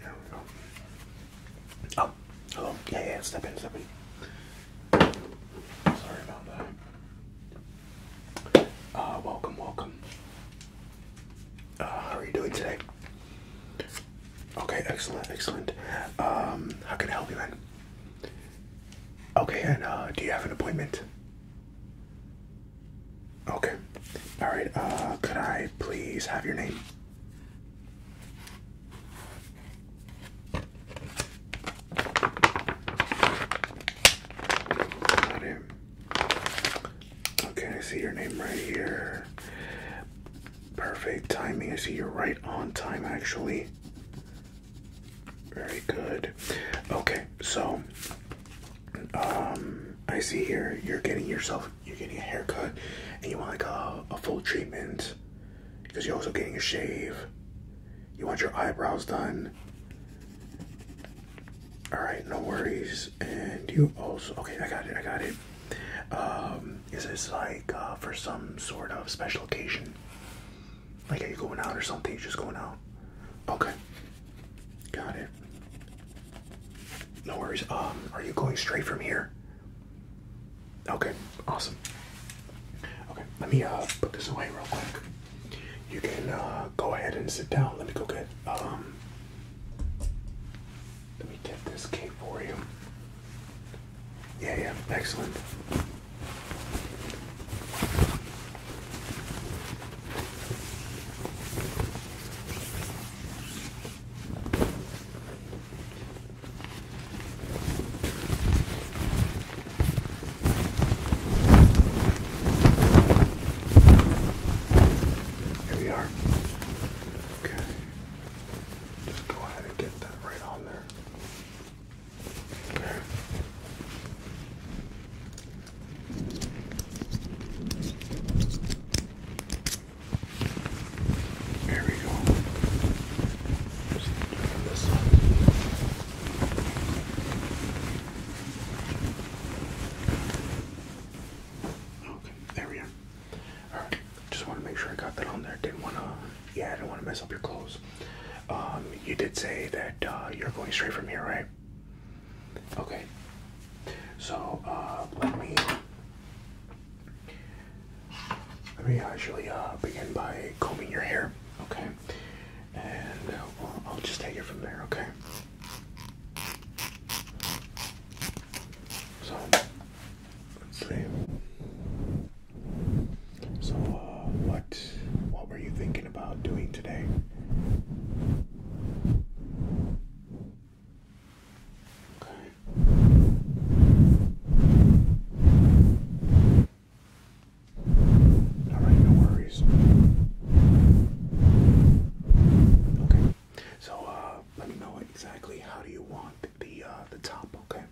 There we go. Oh, hello. Yeah, yeah, step in, step in. Sorry about that. Uh, welcome, welcome. Uh, how are you doing today? Okay, excellent, excellent. Um, how can I help you, man? Okay, and uh, do you have an appointment? Okay. All right. Uh, could I please have your name? Got it. Okay, I see your name right here. Perfect timing. I see you're right on time, actually. Very good. Okay, so um, I see here you're getting yourself you're getting a haircut and you want like a, a full treatment because you're also getting a shave. You want your eyebrows done. Alright, no worries. And you also okay, I got it, I got it. Um, is this like uh, for some sort of special occasion? Like are you going out or something? just going out. Okay. Got it. No worries. Um, are you going straight from here? Okay, awesome. Okay, let me uh put this away real quick. You can uh go ahead and sit down. Let me go get um let me get this cape for you. Yeah, yeah, excellent. Here we are. Okay. Just go ahead and get that right on there. Okay. There we go. Just Okay, there we are. just want to make sure I got that on there. Didn't want to, yeah, I didn't want to mess up your clothes. Um, you did say that uh, you're going straight from here, right? Okay, so uh, let me let me actually uh, begin by combing your hair. Okay, and uh, I'll just take it from there. Okay. So let's see. So uh, what what were you thinking about doing today? Okay. All right, no worries. Okay. So, uh, let me know exactly how do you want the uh, the top, okay?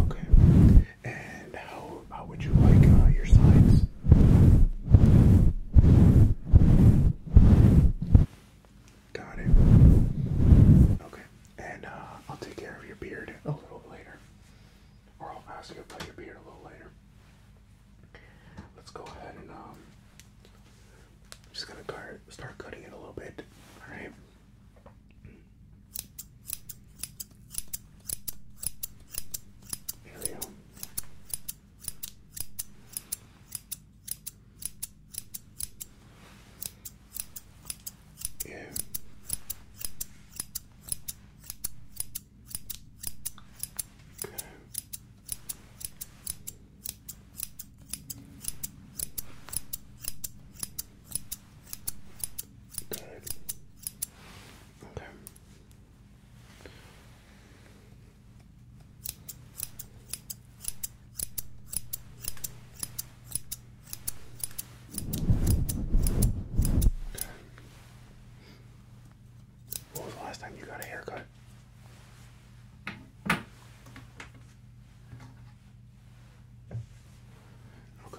Okay. And how how would you like uh, your signs? Got it. Okay. And uh, I'll take care of your beard a little later. Or I'll ask you about your beard a little later. Let's go ahead and um, just gonna start cutting it a little bit. All right. There we go. Yeah. Okay. Good. Okay. What was the last time you got a haircut? Okay.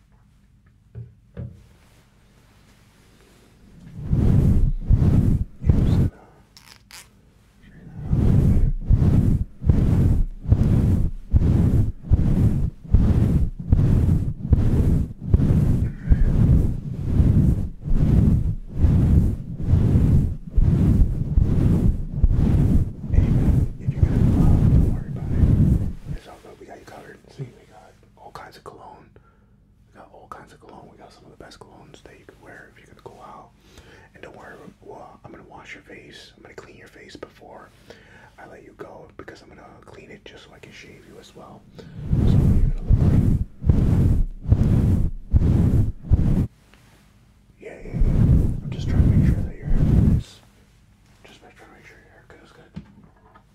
Amen. If you're gonna love, don't worry about it. It's all good. We got you covered. See, we got all kinds of cologne. We got all kinds of cologne. We got some of the best colognes that you could wear if you're gonna go out. And don't worry, I'm gonna wash your face. I'm gonna clean your face before I let you go because I'm gonna clean it just so I can shave you as well. So I'm just trying to make sure that your haircut is. Just trying to make sure your haircut is good.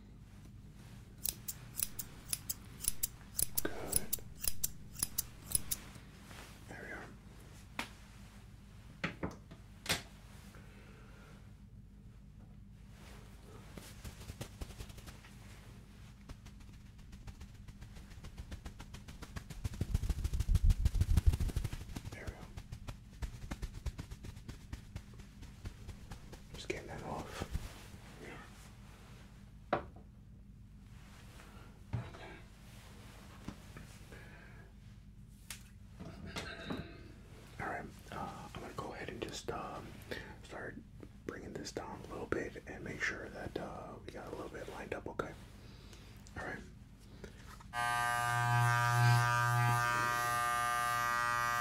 Good. There we are. There we go. Just getting that off. Yeah. All right, uh, I'm gonna go ahead and just uh, start bringing this down a little bit and make sure that uh, we got a little bit lined up. Okay. All right.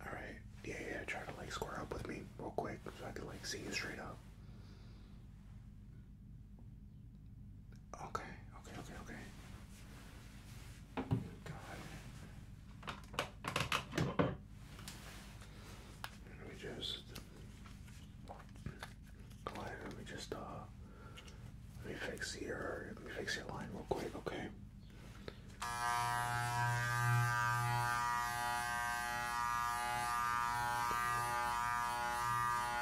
All right. Yeah, yeah. Try to like square up with me real quick so I can like see you straight up. Okay, okay, okay, okay. Let me just go ahead. Let me just uh, let me fix your let me fix your line real quick. Okay,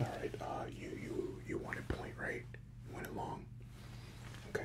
All right. Uh, you you you want it point right? You want it long? Okay.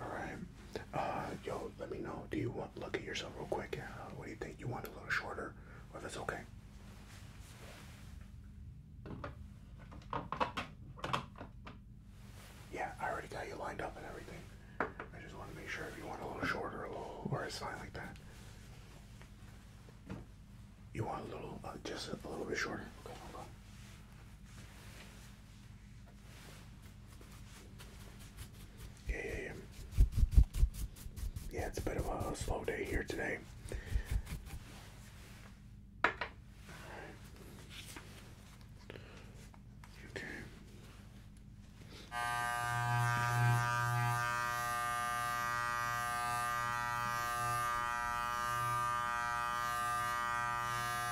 Alright. Uh, yo, let me know. Do you want look at yourself real quick? Uh, what do you think? You want a little shorter? Or if it's okay? Yeah, I already got you lined up and everything. I just want to make sure if you want a little shorter, or it's fine like that. You want a little, uh, just a little bit shorter? Okay, hold on. Yeah, yeah, yeah. Yeah, it's a bit of a slow day here today. Okay.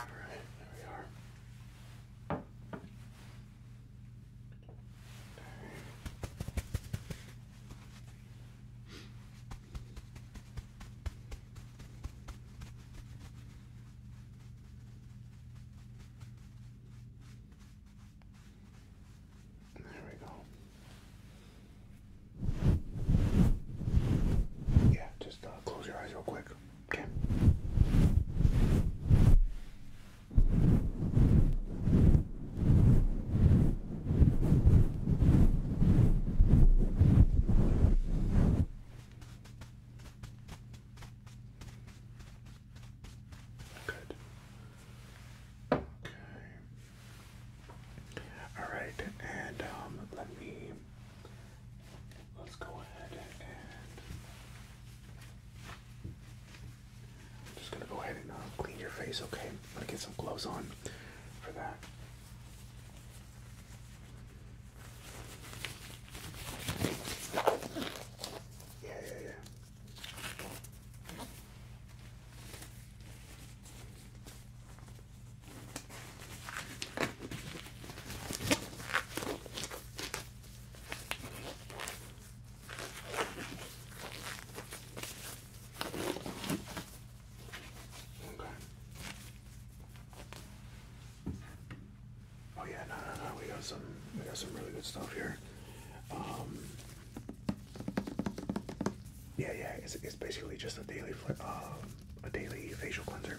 Alright, there we are. There we go. Yeah, just uh, close your eyes real quick. Okay. Good. Okay. All right, and um, let me let's go ahead and just gonna go ahead and uh, clean your face. Okay, I'm gonna get some gloves on for that. Yeah, yeah, yeah. Oh yeah, no, no, no. We got some, we got some really good stuff here. Um, yeah, yeah, it's, it's basically just a daily um, a daily facial cleanser.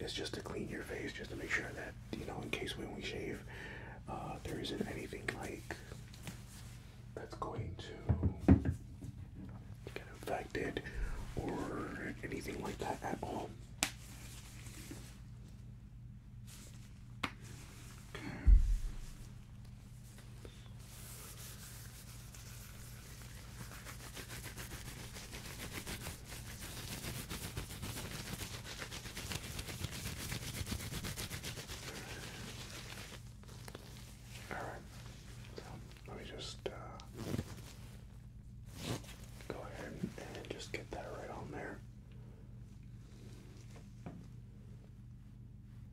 It's just to clean your face, just to make sure that you know, in case when we shave, uh, there isn't anything like that's going to get infected or anything like that at all. Okay. All right. let me just uh, go ahead and just get that right on there.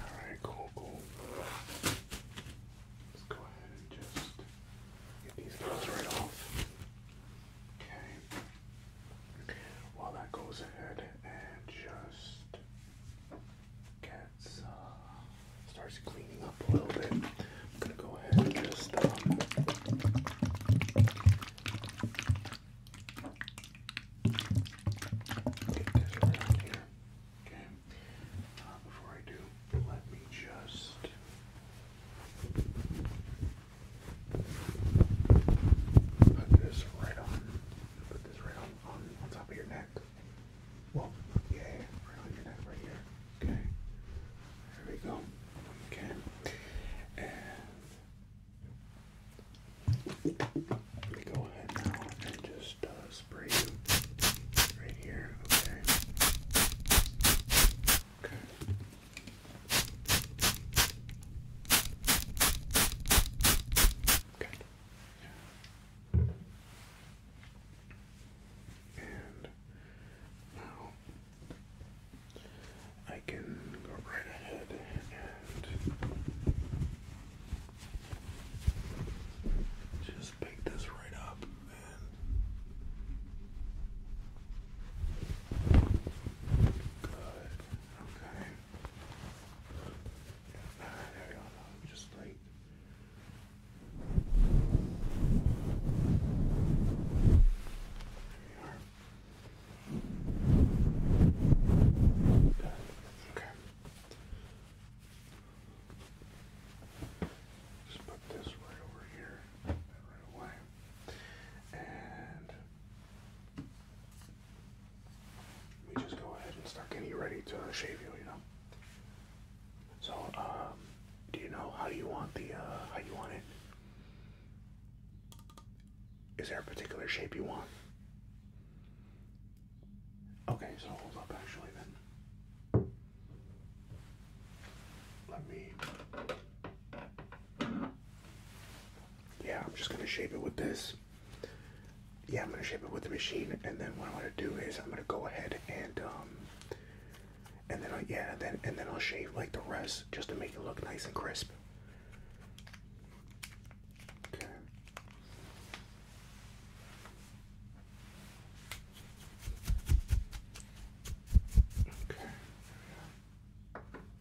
Alright, cool, cool. Let's go ahead and just get these gloves right off. Okay. While that goes ahead and just gets uh, starts cleaning up a little bit, I'm gonna go ahead and just uh, get this around here. Okay. Uh, before I do, let me just. Put this right on. Put this right on, on, on top of your neck. Well, yeah, right on your neck right here. Okay. There we go. Okay. And let me go ahead now and just uh, spray you right here. Okay. Okay. And now I can go right ahead and just pick this right up good. Okay there we go. just like. There we are. Okay. Just put this right over here right away. And let me just go ahead and start getting ready to shave you, you know. So, um, do you know how do you want the, uh, how you want it? Is there a particular shape you want? Okay, so hold up actually then. Let me yeah, I'm just gonna shape it with this. Yeah, I'm gonna shape it with the machine, and then what I'm gonna do is I'm gonna go ahead and um, and then I, yeah, then and then I'll shave like the rest just to make it look nice and crisp. Okay.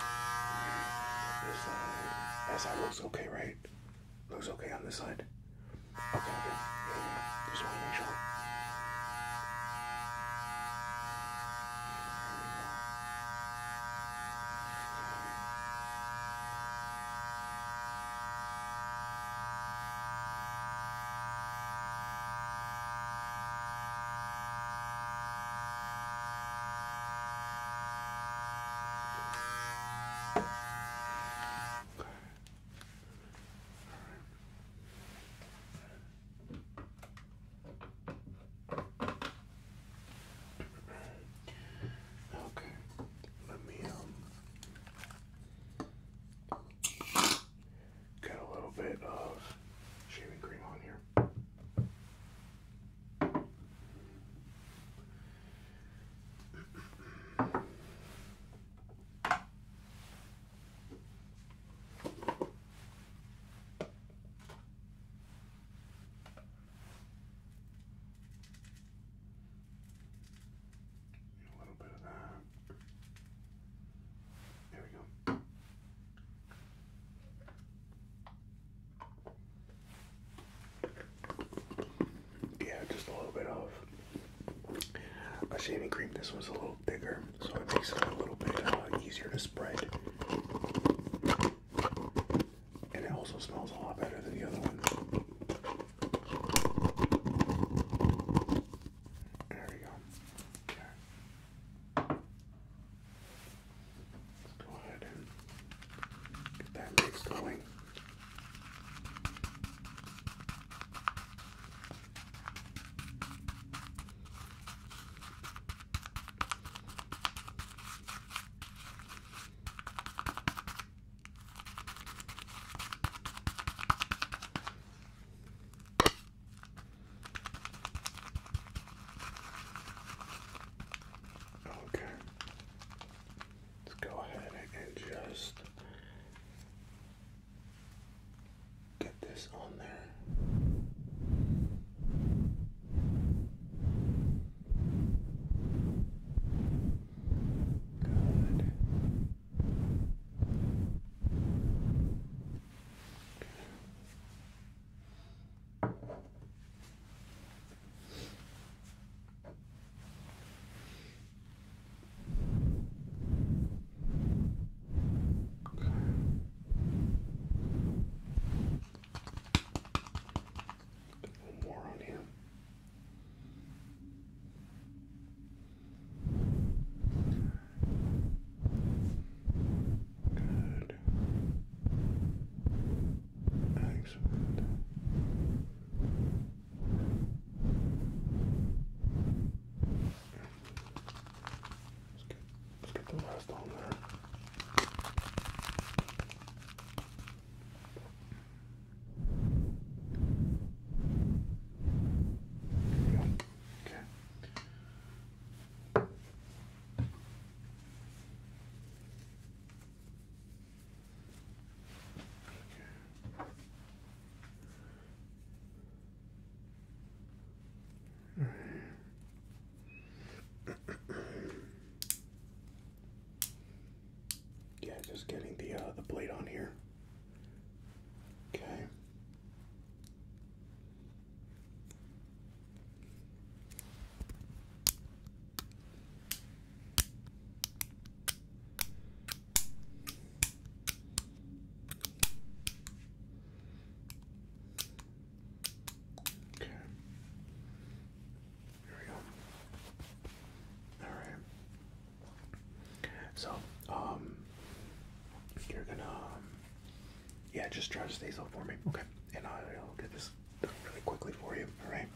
There. This side. That side looks okay, right? Looks okay on this side. Okay, okay. Yeah, Just want to make sure. Okay. Um, a little bit of shaving cream on here. A little bit of that. There we go. Yeah, just a little bit of a shaving cream. This one's a little bigger, so it makes it a little bit uh, easier to spread. And it also smells a lot better than the other one. There we go. Okay. Let's go ahead and get that mix going. Okay. Let's go ahead and just get this on there. Good. Okay. Okay. One more on here. Good. Thanks. Excellent. Let's get, the rest on there. There we go. Okay. Yeah, just getting the uh, the blade on here. Okay. Okay. Here we go. All right. So, um, you're gonna um, yeah, just try to stay so for me, okay? And I'll get this done really quickly for you, all right?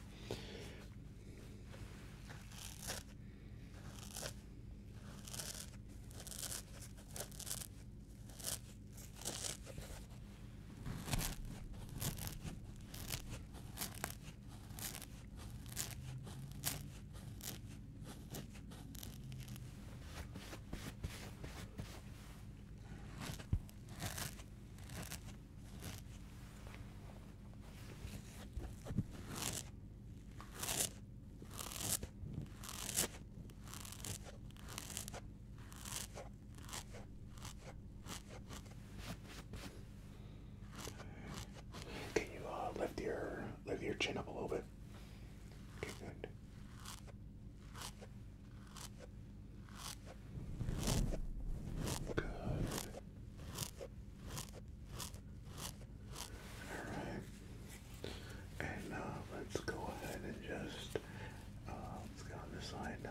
Can you uh, lift your lift your chin up a little bit? Okay, good. Good. Alright. And uh, let's go ahead and just uh, let's get on this side now.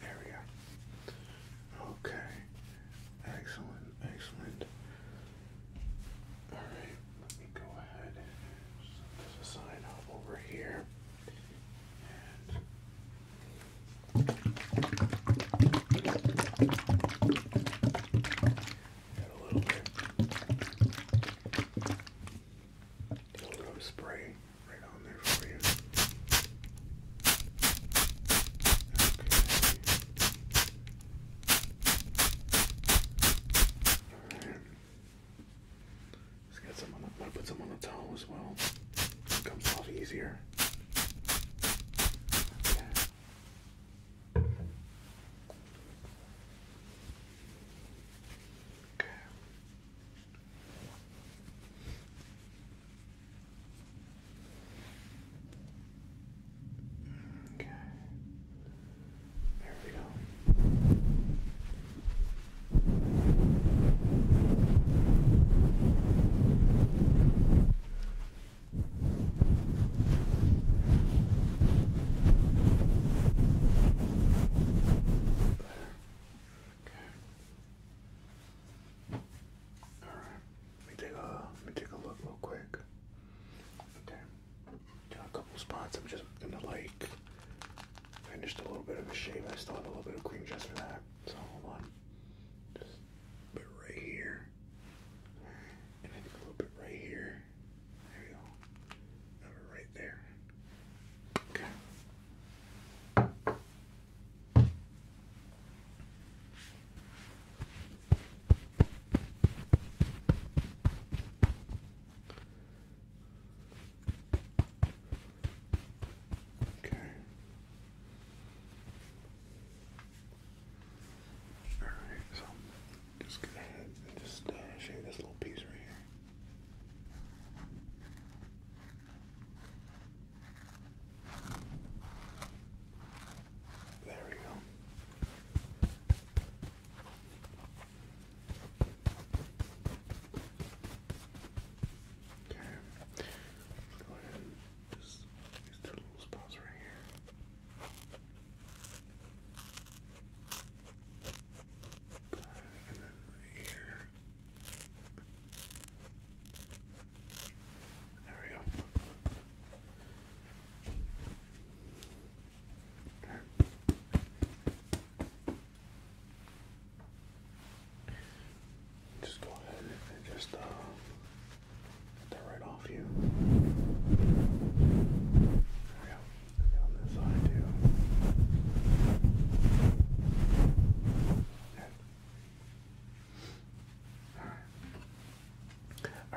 There we go. Okay. Excellent, excellent. Alright, let me go ahead and up over here a little bit. a little spray right on there for you. Let's get some on the, to put some on the towel as well. It comes off easier. Okay. Okay. There we go. All right. Let me take a let me take a look real quick. Okay. Got a couple spots. I'm just gonna like finish a little bit of a shave. I still have a little bit of cream just for that. So hold on. Just a bit right here. And a little bit right here there. There go. right there. Okay. Okay. All right, so just go ahead and just uh, this little piece right here. There we go. Okay. go ahead just these two little spots right here. There we go. Just go ahead and just uh, get that right off. All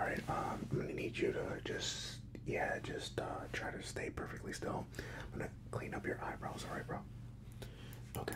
right. Um, I'm gonna need you to just, yeah, just uh, try to stay perfectly still. I'm gonna clean up your eyebrows. All right, bro. Okay.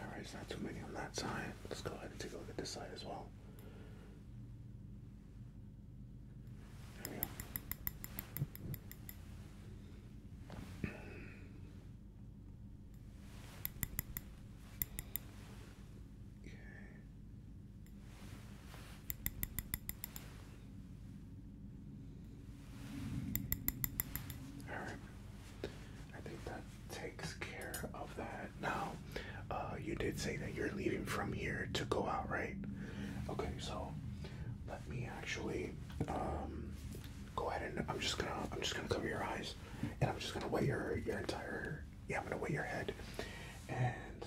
Alright, it's not too many on that side. Let's go ahead and take a look at this side as well. Okay. Alright. I think that takes care of that. Now, uh, you did say that you're leaving from here to go out, right? Okay, so let me actually um, go ahead and I'm just gonna I'm just gonna cover your eyes and I'm just gonna weigh your your entire yeah I'm gonna weigh your head and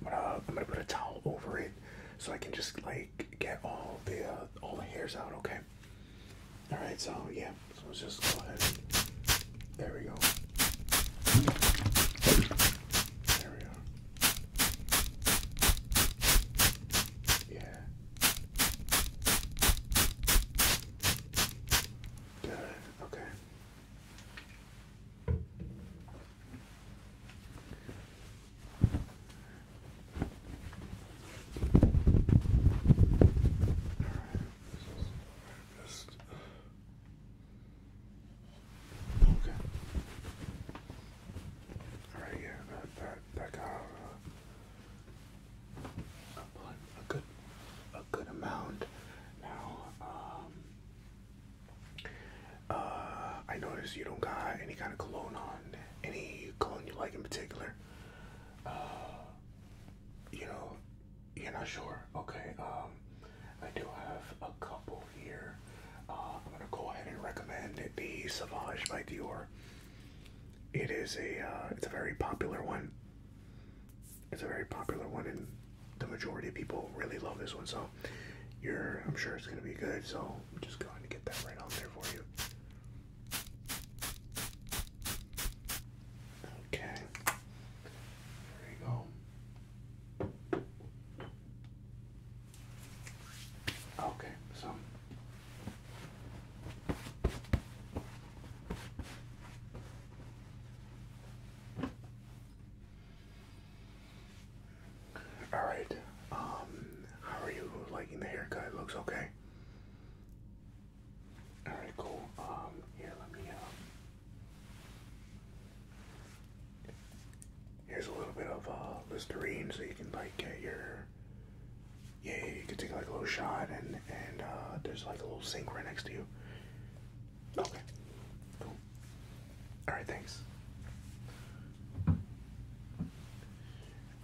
I'm gonna I'm gonna put a towel over it so I can just like get all the uh, all the hairs out. Okay. All right, so yeah, let's just go ahead. There we go. There we are. Yeah. Good. Okay. Just... Okay. All right, yeah, that that that got uh, a good a good amount. Now, um, uh, I notice you don't got any kind of cologne on. Any cologne you like in particular? uh, you know, you're not sure. Okay, um, I do have a couple here. Uh, I'm gonna go ahead and recommend it, the Savage by Dior. It is a, uh, it's a very popular one. It's a very popular one, and the majority of people really love this one. So, you're, I'm sure it's gonna be good. So, I'm just going to get that right on there for you. Okay. There you go. Okay, so all right. Um, how are you liking the haircut? It looks okay. All right, cool. Um, here, let me. Um, here's a little bit of uh, Listerine, so you can like get your. Yeah, you can take like a little shot, and and uh, there's like a little sink right next to you. Okay. Cool. All right. Thanks.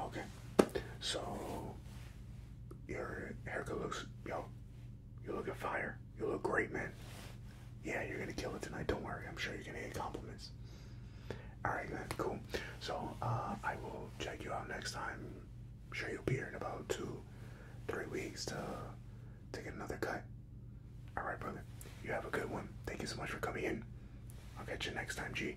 Okay. So your hair looks yo. You look at fire. You look great, man. Yeah, you're gonna kill it tonight. Don't worry. I'm sure you're gonna get compliments. All right, man. Cool. So uh, I will check you out next time. I'm sure you'll be here in about two, three weeks to take another cut. All right, brother. You have a good one. Thank you so much for coming in. I'll catch you next time, G.